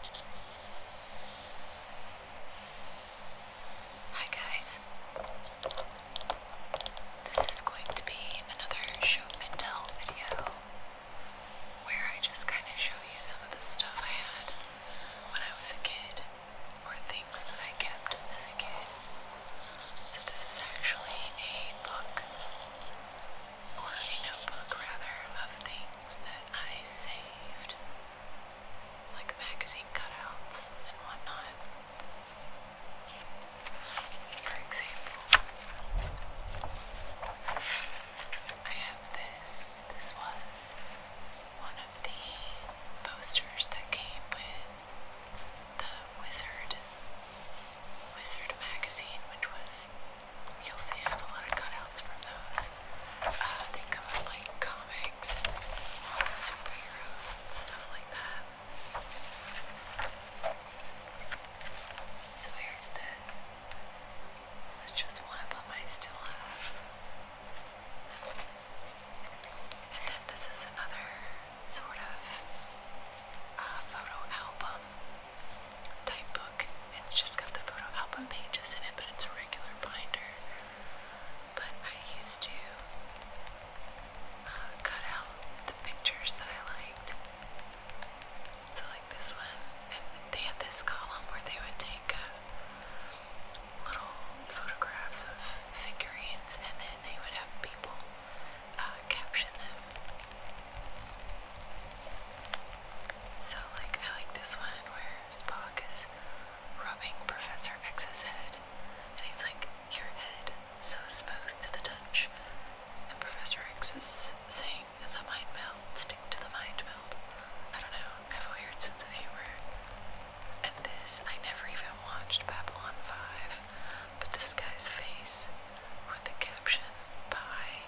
Hi guys. This is going to be another show and tell video where I just kind of show you some of the stuff I had when I was a kid or things that I kept as a kid. So this is actually a book, or a notebook rather, of things that I saved, like magazine cutouts and whatnot. For example, I have this. This was one of the posters that came with the Wizard Wizard magazine, which was you'll see I have a lot of cutouts from those. Uh, they covered like comics and superheroes and stuff like that. So here's this. This is just one of them I still have. And then this is another sort of uh, photo album type book. It's just got the photo album pages in it, but it's a regular binder. But I used to uh, cut out the pictures that I liked. So, like this one, and they had this column where they would take uh, little photographs of figurines and then they would have people uh, caption them. So, like, I like this one where Spock is rubbing Professor X's head, and he's like, Your head, so smooth to the touch. And Professor X is saying, The mind meld, stick to the mind meld. I don't know, I have a weird sense of humor. And this, I never even watched Babylon 5 but this guy's face with the caption, pie,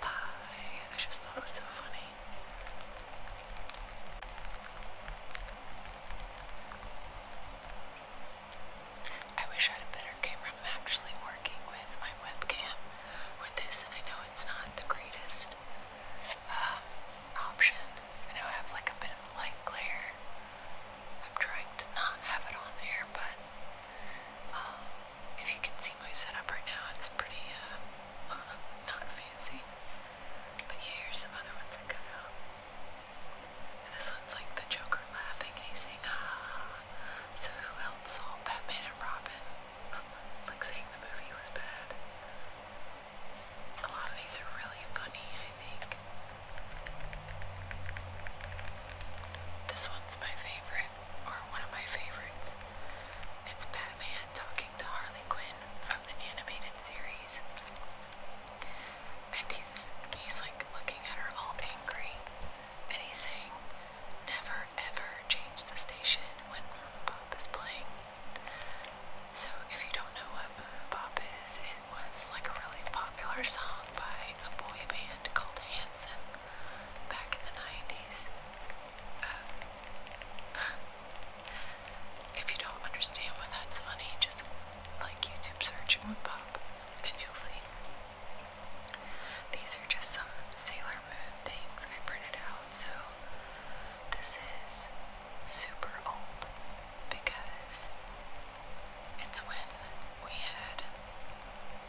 pie, I just thought it was so funny. I wish I had a better camera. I'm actually working with my webcam with this, and I know it's not the greatest um, option. I know I have like a bit of light glare I'm trying to not have it on there, but uh, if you can see my setup right now, it's pretty uh, not fancy. But here's some other ones that come out. this one's like the Joker laughing and he's saying, ah, so who else saw Batman and Robin? like saying the movie was bad. A lot of these are really funny. This one's my favorite, or one of my favorites. It's Batman talking to Harley Quinn from the animated series. And he's he's like looking at her all angry. And he's saying, Never ever change the station when Bob is playing. So if you don't know what Bob is, it was like a really popular song by a boy band called Hanson back in the 90s. Uh, um, if you don't understand why that's funny, just like YouTube search and pop and you'll see. These are just some Sailor Moon things I printed out. So this is super old because it's when we had,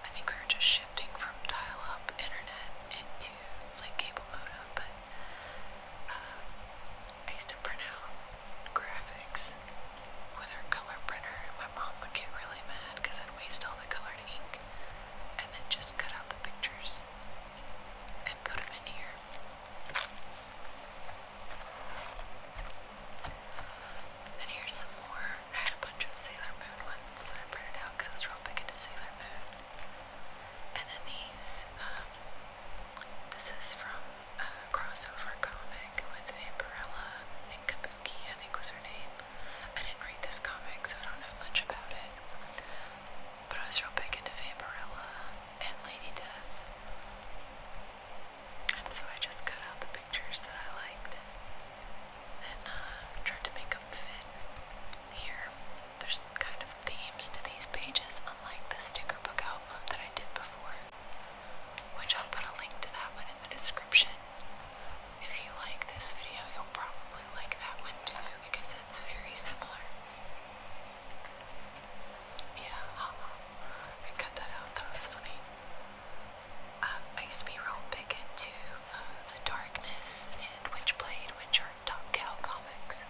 I think we were just shifting from dial up internet into like cable modem, but uh, I used to print out graphics with our color printer, and my mom would get really mad because I'd waste all the colored ink and then just cut out the pictures and put them in here. And here's some more. I had a bunch of Sailor Moon ones that I printed out because I was real big into Sailor Moon. And then these, um, this is from a crossover comic with Vampirella and Kabuki, I think was her name. I didn't read this comic, so I don't know much about it. But I was real big into Vampirella and Lady Death. And so I just cut out the pictures that I liked and uh, tried to make them fit here. There's kind of themes to these pages, unlike the sticker book album that I did before, which I'll put a link to that one in the description. If you like this video, you'll probably like that one too because it's very similar. Yeah, I cut that out, that was funny. Um, I used to be real big into um, The Darkness and Witchblade, which are top cow comics.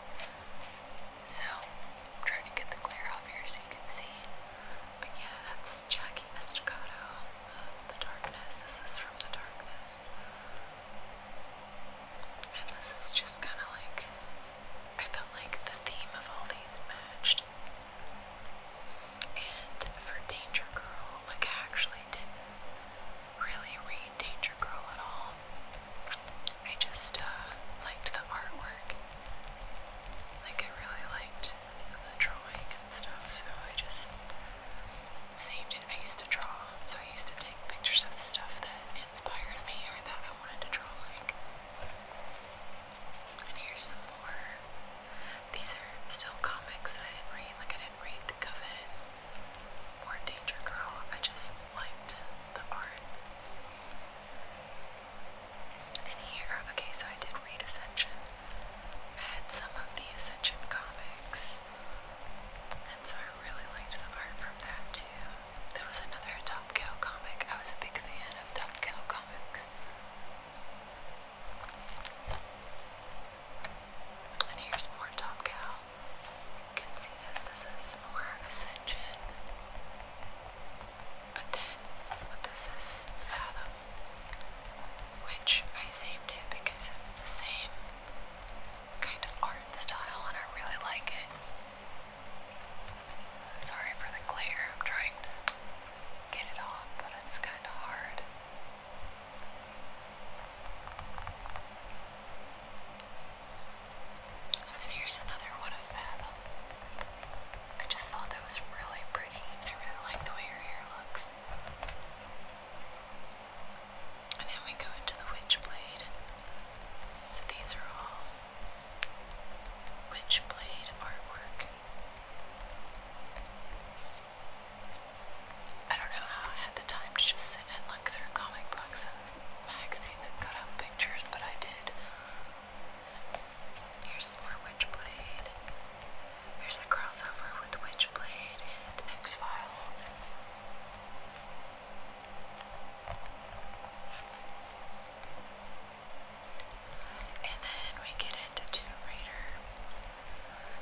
So, I'm trying to get the glare off here so you can see. But yeah, that's Jackie Estacado, um, The Darkness. This is from The Darkness. And this is just kind of like I felt like the theme of all these matched. And for Danger Girl, like I actually didn't really read Danger Girl at all. I just uh, liked the artwork. Like I really liked the drawing and stuff, so I just saved it. I used to draw, so I used to take pictures of the stuff that inspired me or that I wanted to draw like. And here's some more. These are still comics that I didn't read. Like, I didn't read The Coven or Danger Girl. I just liked the art. And here, okay, so I did read Ascension. I had some of the Ascension comics. And so I really liked the art from that too. There was another Top Cow comic. I was a big fan of Top Cow comics. And here's more Top Cow. You can see this. This is more Ascension. But then this is Fathom, which I saved it because it's the same kind of art style and I really like it. Sorry for the glare, I'm trying to get it off, but it's kind of hard. And then here's another one of Fathom. I just thought that was really pretty, and I really like the way your hair looks. And then we go into the Witchblade. So these are all Witchblade artwork. I don't know how I had the time to just sit and look through comic books and magazines and cut out pictures, but I did. Here's more Witchblade. Here's a crossover with Witchblade and X Files. And then we get into Tomb Raider.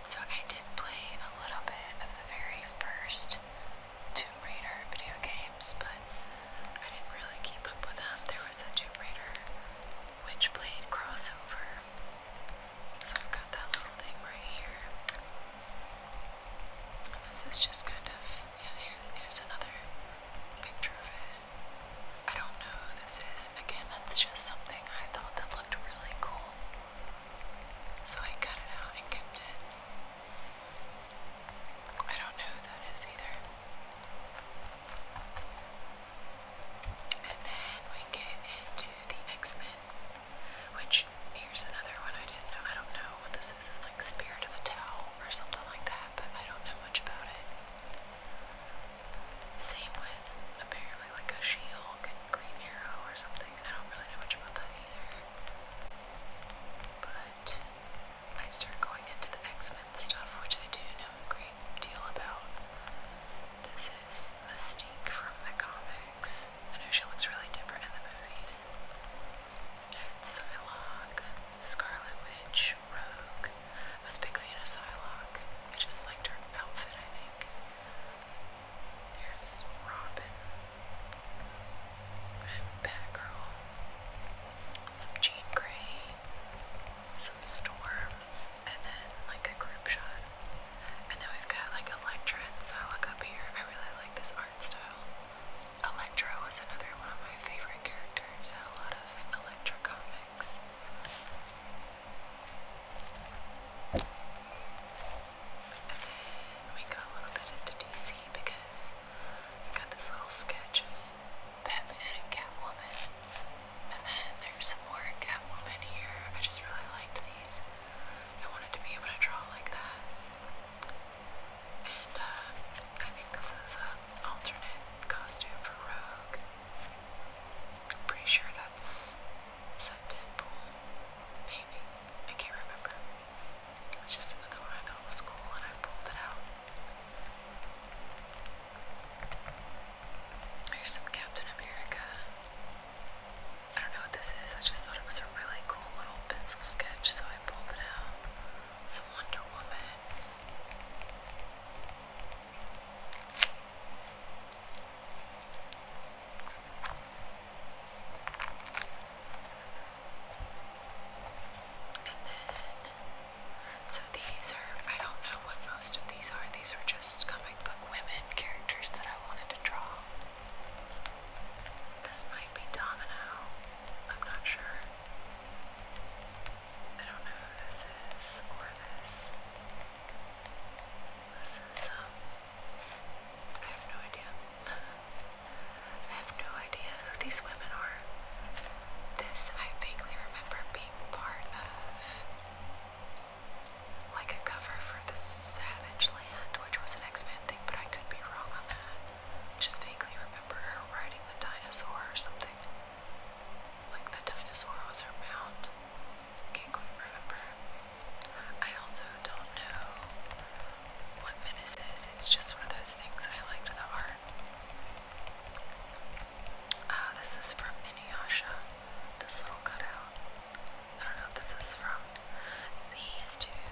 So I did play a little bit of the very first Tomb Raider video games, but I didn't really keep up with them. There was a Tomb Raider Witchblade crossover. So I've got that little thing right here. this is just kind of, yeah, here, here's another picture of it. I don't know who this is. Again, that's just something I thought that looked really cool. So I cut it out and kept it. I don't know who that is either. And then we get into the X Men, which here's another one I didn't know. I don't know what this is like Spirit of the Tao or something like that, but I don't know much about it. Same with apparently like a She Hulk and Green Arrow or something. I don't really know much about that either. But I started going into the X Men stuff, which I do know a great deal about. This is Mystique from the comics. I know she looks really different in the movies. Psylocke, Scarlet Witch, Rogue. I was big fan of Psylocke. I just liked her outfit, I think. Here's Robin. Batgirl. Some Jean Grey. Some Storm. And then like a group shot. And then we've got like Electra and Psylocke up here. I really like this art style. Electro was another one of my favorite characters in a lot of Electro comics. And then we got a little bit into DC because we got this little sketch of Batman and Catwoman. And then there's some more Catwoman here. I just really liked these. I wanted to be able to draw like that. And uh, I think this is an alternate costume for Rogue. I'm pretty sure that's said Deadpool. Maybe. I can't remember. It's just another one I thought was cool and I pulled it out. Here's some Captain America. I don't know what this is, I just thought it was a really cool little pencil sketch, so I pulled it out. It's a Wonder Woman. And then, so these are, I don't know what most of these are. These are just comic book women characters that I wanted to draw. This might be Domino. I'm not sure. I don't know who this is or this. This is, um, I have no idea. I have no idea who these women are. This, I vaguely remember being part of, like, a cover for The Savage Land, which was an X Men thing, but I could be wrong on that just vaguely remember her riding the dinosaur or something. Like the dinosaur was her mount. Can't quite remember. I also don't know what Minnie says. It's just one of those things I liked the art. Ah, this is from Inuyasha. This little cutout. I don't know what this is from. These two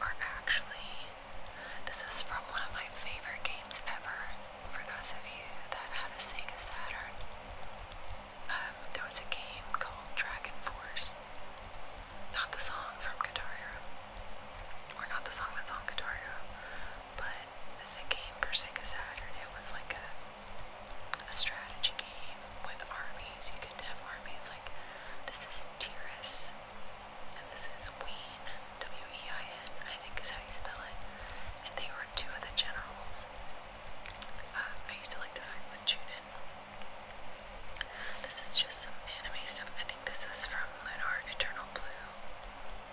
are actually this is from one of my favorite games ever for those of you that had a Sega Saturn. Um, there was a game called Dragon Force. Not the song from Guitar Hero, or not the song that's on Guitar Hero, but as a game for Sega Saturn. It was like a, a strategy game with armies. You could have armies like this is Tiras and this is Ween, W-E-I-N, I think is how you spell it. And they were two of the generals. Uh, I used to like to fight with Junin. This is just some anime stuff. I think this is from Lunar Eternal Blue.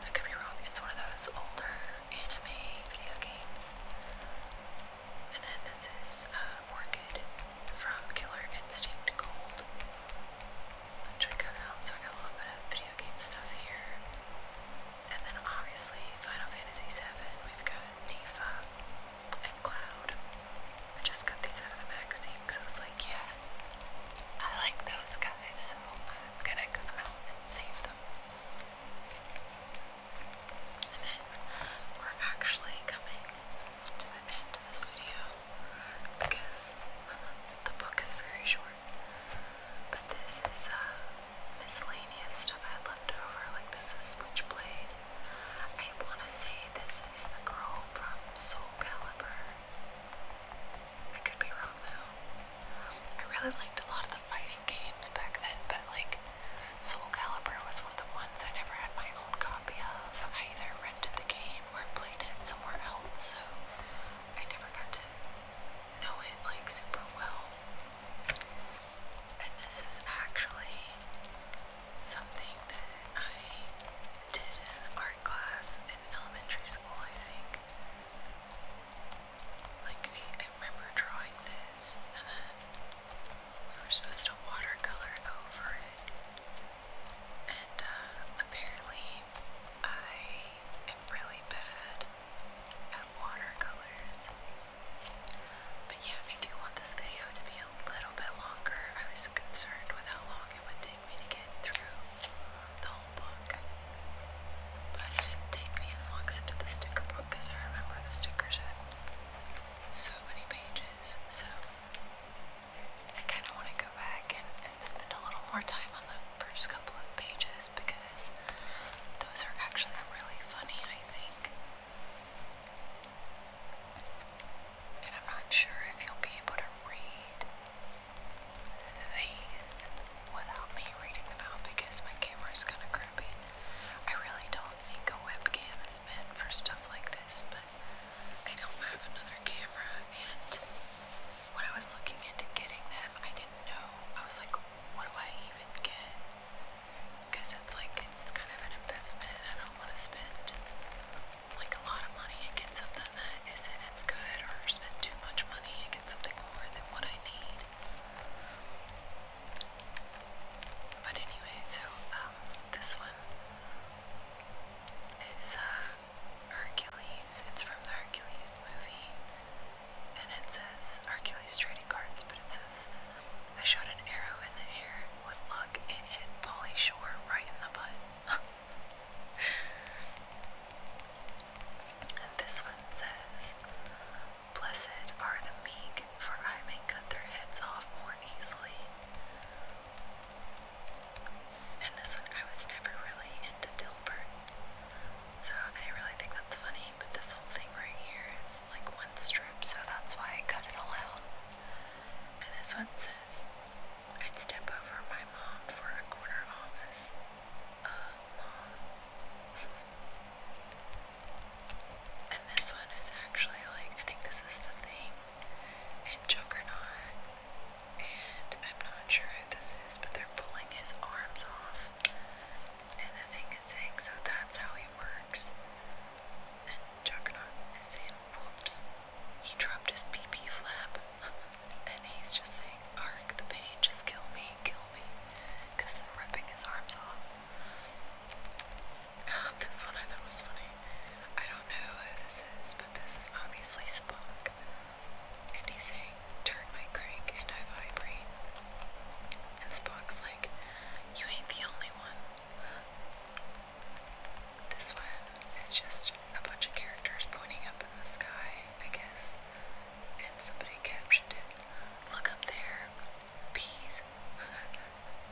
I could be wrong. It's one of those older anime video games. And then this is uh, Orchid from Killer Instinct Gold trick it out. So I got a little bit of video game stuff here. And then obviously Final Fantasy VII, we've got Tifa and Cloud. I just got these out of the magazine because I was like, yeah, I like those guys, so I'm gonna go out and save them. And then we're actually coming to the end of this video because the book is very short. But this is uh, miscellaneous stuff I had left over. Like this is Switchblade. I want to say this is the girl from Soul Calibur. I could be wrong though. I really liked a lot of the fighting games back then, but like Soul Calibur was one of the ones I never had my own copy of. I either rented the game or played it somewhere else, so I never got to know it like super well. And this is actually something that I did in art class in elementary school, I think. Like, I, remember drawing this, and then we were supposed to watercolor over and uh, apparently, I am really bad at watercolors. But yeah, I do want this video to be a little bit longer. I was concerned with how long it would take me to get through the whole book. But it didn't take me as long as it did the sticker book because I remember the stickers had so many pages. So I kind of want to go back and, spend a little more time on the first couple of pages because those are actually really funny, I think. And I'm not sure if you'll be able to read these without me reading them out because my camera's kind of crappy. I really don't think a webcam is meant for stuff like this, but I don't have another camera, and when I was looking into getting them, I didn't know. I was like, what do I even get? Because it's like, it's kind of an investment. I don't want to spend like a lot of money and get something that isn't as good, or spend too much money and get something more than what I need. But anyway, so um, this one is uh, Hercules. It's from the Hercules movie. And it says Hercules trading cards, but it says I shot an arrow in the air. With luck, it hit Polly Shore right in the butt. and this one says Blessed are the meek, for I may cut their heads off more easily. And this one, I was never really into Dilbert, so I really think that's funny, but this whole thing right here is like one strip, so that's why I cut it all out. And this one says, I'd step over my mom for a quarter office. mom. and this one is actually like, I think this is the thing. And Juggernaut and I'm not sure who this is, but they're pulling his arms off. And the thing is saying, so that's how he works. And Juggernaut is saying, whoops, he dropped his PP flap. and he's just saying, Ark, the pain, just kill me, kill me. they're ripping his arms off. this one I thought was funny. I don't know who this is, but this is obviously Spock. And he's saying, Turn my crank and I vibrate. And Spock's like, You ain't the only one. This one is just a bunch of characters pointing up in the sky, I guess. And somebody captioned it, Look up there, peas.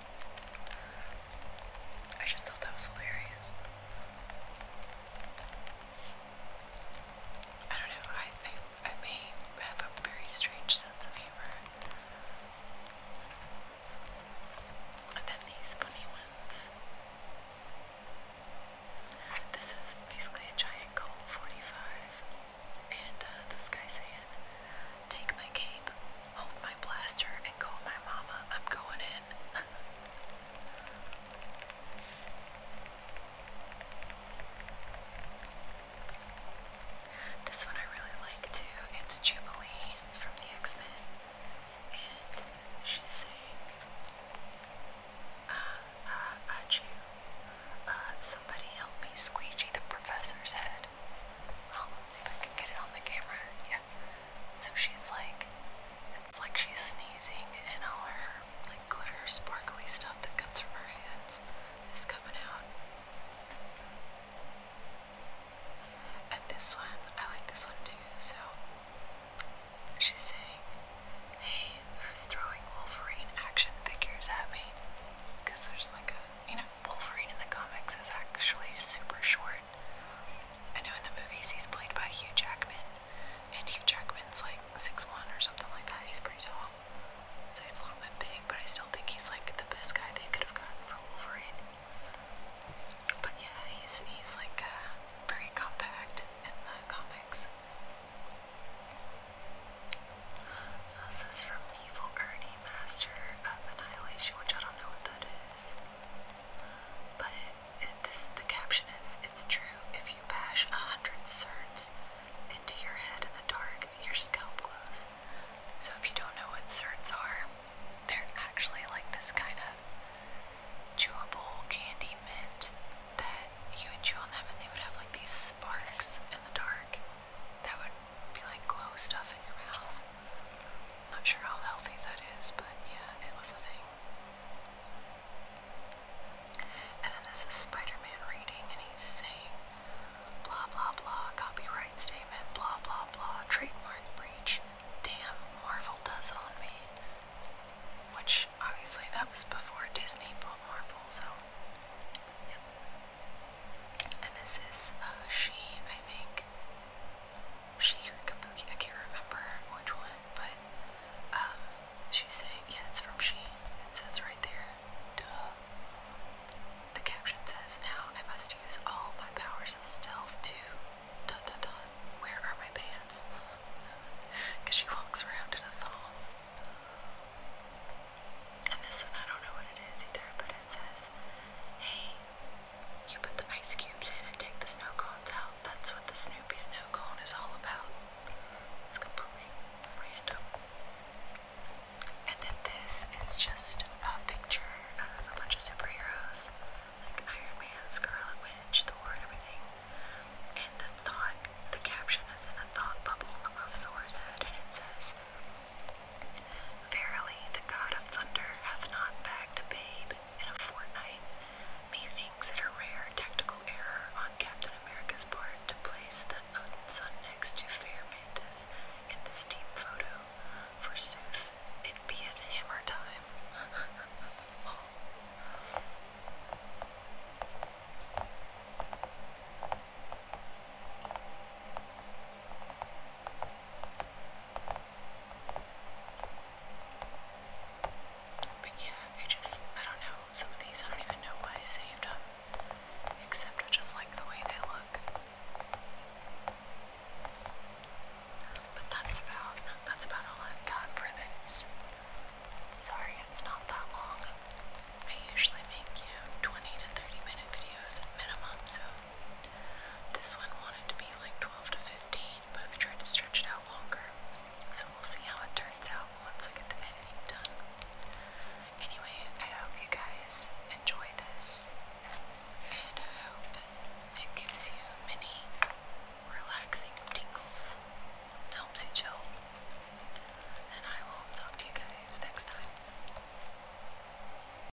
I just thought that was hilarious. I don't know, I, I, may have a very strange sense of humor. And then these bunny ones. This is basically a giant Colt 45. And uh, this guy's Take my cape, hold my blaster and call my mama. I'm going in. this one I really like too. It's Jubilee from the X Men, and she's saying, uh, uh, uh, uh, somebody help me squeegee the professor's head." Oh, let's see if I can get it on the camera. Yeah. So she's like, it's like she's sneezing, and all her like glitter, sparkly stuff that comes from her hands is coming out. And this one, I like this one too. So she's saying, "Hey, who's throwing Wolverine action figures at me?" Because there's like a, you know, Wolverine in the comics is actually super short. I know in the movies he's played by Hugh Jackman, and Hugh Jackman's like 6'1 or something like that. He's pretty tall, so he's a little bit big, but I still think he's like the best guy they could have gotten for Wolverine. But yeah, he's, he's like uh, very compact in the comics. This is from Evil Ernie, Master of Annihilation, which I don't know what that is. But the caption is, it's true, if you bash a hundred certs into your head in the dark, your scalp glows. So if you don't know what certs are, they're actually like this kind of chewable candy mint that you would chew on them and they would have like these sparks in the dark that would be like glow stuff in your mouth. Not sure how healthy that is, but yeah, it was a thing. And then this is Spider Man reading, and he's saying, blah blah blah, copyright statement, blah blah blah, trademark breach. Damn, Marvel does own me. Which, obviously, that was before Disney bought Marvel, so. Yep. And this is uh, She, I think. She or Kabuki, I can't remember which one, but um, she's saying, yeah, it's from She. It says right there, duh. The caption says, now I must use all my powers of stealth to dun dun dun. Where are my pants? Because she walks around in a thong. And this one, I don't know what it is either, but it says, hey, you put the ice cubes in and take the snow cones out. That's what the Snoopy snow cone is all about. It's completely random. And then this is just a picture of a bunch of superheroes like Iron Man, Scarlet Witch, Thor, everything. And the thought, the caption is in a thought bubble above Thor's head, and it says, Verily, the God of thunder hath not bagged a babe in a fortnight. Methinks it a rare technical error on Captain America's part to place the Odin next to fair in this team photo. Forsooth, it beeth hammer time. But yeah, I just, I don't know, some of these I don't even know why I saved them, except I just like the way they look. But that's about, that's about all I've got for this. Sorry it's not that long. I usually make, you know, 20 to 30 minute videos at minimum, so this one wanted to be like 12 to 15, but I tried to stretch it out longer. So we'll see how it turns out once I get the editing done. Anyway, I hope you guys enjoy this, and I hope it gives you many relaxing tingles helps you chill. And I will talk to you guys next time.